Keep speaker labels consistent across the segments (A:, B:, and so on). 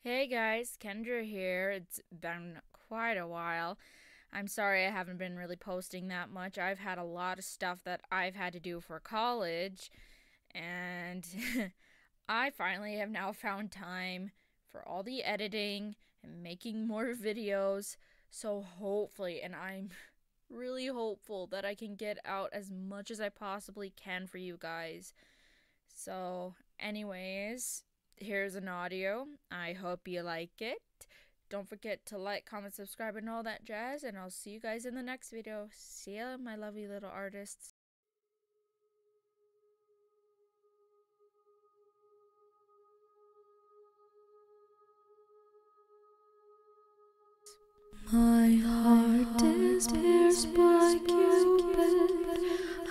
A: Hey guys, Kendra here. It's been quite a while. I'm sorry I haven't been really posting that much. I've had a lot of stuff that I've had to do for college, and I finally have now found time for all the editing and making more videos. So hopefully, and I'm really hopeful that I can get out as much as I possibly can for you guys. So, anyways, here's an audio. I hope you like it. Don't forget to like, comment, subscribe, and all that jazz. And I'll see you guys in the next video. See ya, my lovely little artists. My heart is pierced by Cupid.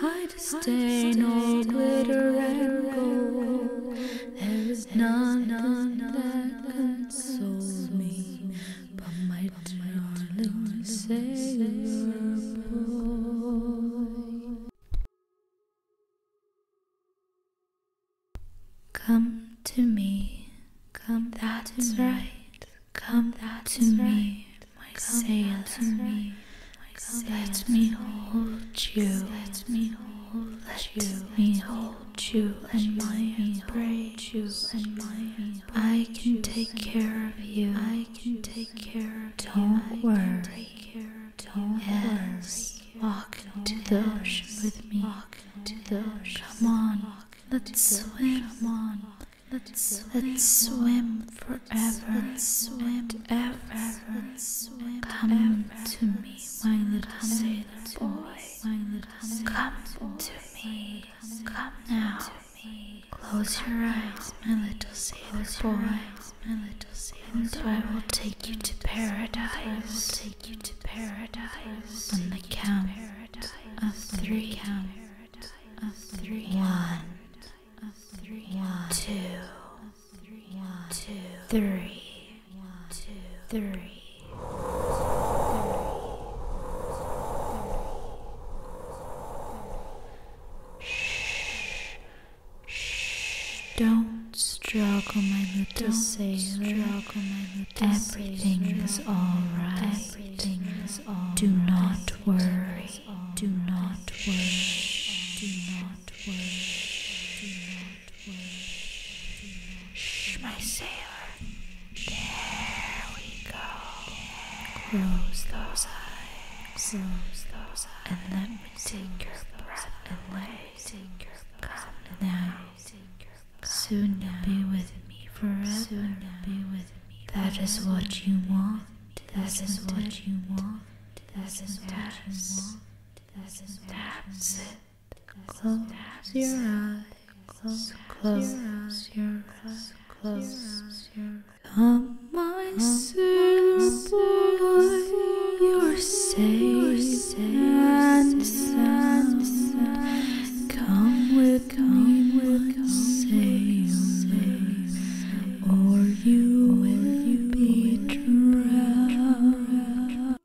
A: I'd stain all glitter and gold. There is none, none that consoles me but my darling Savior. Come to me, come, that's right. Come that's to me, my sail to me. Right. Let me hold you. Let me hold let you. Me hold you and my embrace you and my. I can take care of you. I can take care of you. Don't worry. Don't yes. Walk to the ocean with me. Walk into the ocean. Come on. Let's swim on. Let's swim forever and ever. Come to me, my little sailor boy. Come to me. Come now. Close your eyes, my little sailor boy. And I will take you to paradise. I will take you to paradise. On the count of three count of three one of Shh, shh, don't struggle, my little sailor. Struggle, my little Everything is all right. Do not worry. Do not worry. Do not worry. Shh, my sailor. There we go. Close those eyes. Close those eyes. And let me take your breath and let me take your breath now. Soon you'll be with me forever. Soon you'll be with me. That is what you want. That is what you want. That is what you want. That is That's it. Close your eyes. Close, close your eyes. Close your eyes. Come, my silver boy, you're safe safe and sound. Come with come with sailors, or you will be drowned.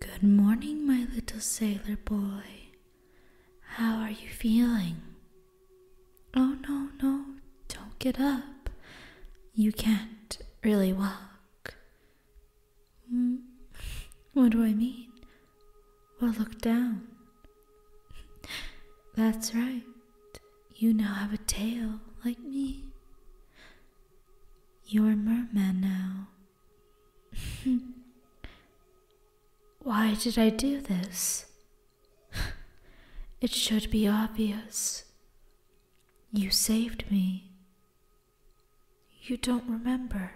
A: Good morning, my little sailor boy. How are you feeling? Oh, no, no, don't get up. You can't really walk. Mm, what do I mean? Well, look down. That's right. You now have a tail like me. You're a merman now. Why did I do this? it should be obvious. You saved me. You don't remember.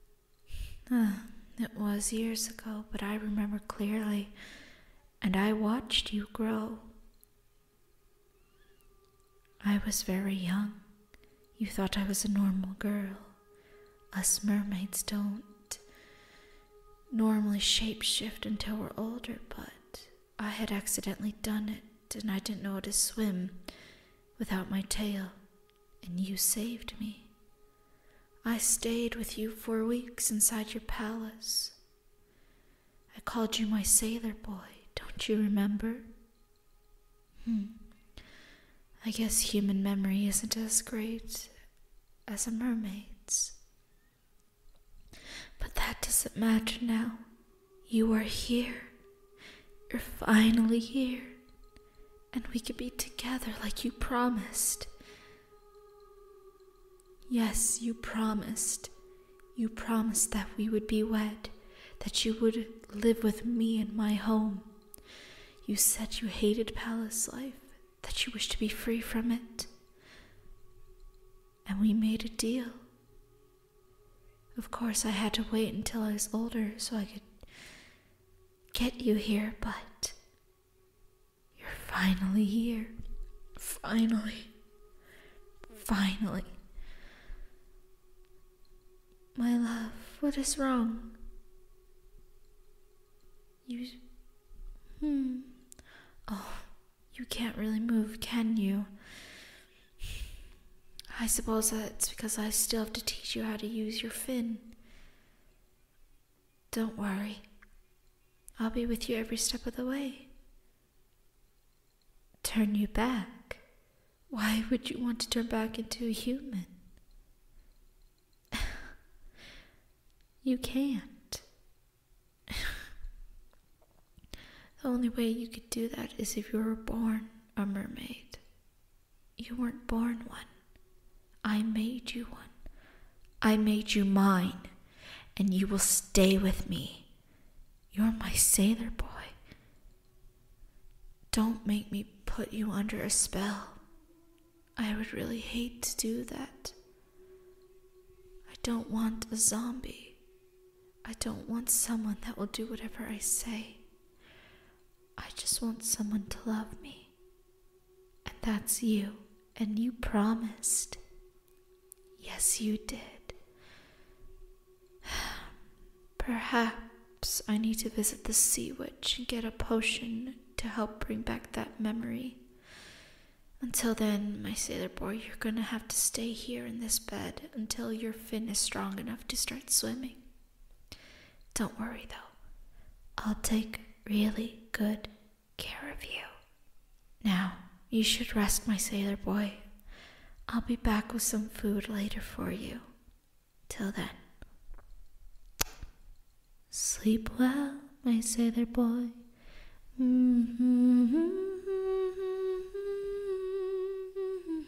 A: it was years ago, but I remember clearly and I watched you grow. I was very young. You thought I was a normal girl. Us mermaids don't normally shape shift until we're older, but I had accidentally done it and I didn't know how to swim without my tail, and you saved me. I stayed with you for weeks inside your palace. I called you my sailor boy, don't you remember? Hmm. I guess human memory isn't as great as a mermaid's. But that doesn't matter now. You are here. You're finally here and we could be together like you promised. Yes, you promised. You promised that we would be wed, that you would live with me in my home. You said you hated palace life, that you wished to be free from it. And we made a deal. Of course, I had to wait until I was older so I could get you here, but you're finally here. Finally. Finally. My love, what is wrong? You. Hmm. Oh, you can't really move, can you? I suppose that's because I still have to teach you how to use your fin. Don't worry. I'll be with you every step of the way. Turn you back? Why would you want to turn back into a human? you can't. the only way you could do that is if you were born a mermaid you weren't born one. I made you one. I made you mine, and you will stay with me. You're my sailor boy. Don't make me put you under a spell. I would really hate to do that. I don't want a zombie. I don't want someone that will do whatever I say. I just want someone to love me. And that's you. And you promised. Yes, you did. Perhaps I need to visit the Sea Witch and get a potion to help bring back that memory. Until then, my sailor boy, you're gonna have to stay here in this bed until your fin is strong enough to start swimming. Don't worry though, I'll take really good care of you. Now, you should rest, my sailor boy. I'll be back with some food later for you. Till then, sleep well, my sailor boy. Mm-hmm.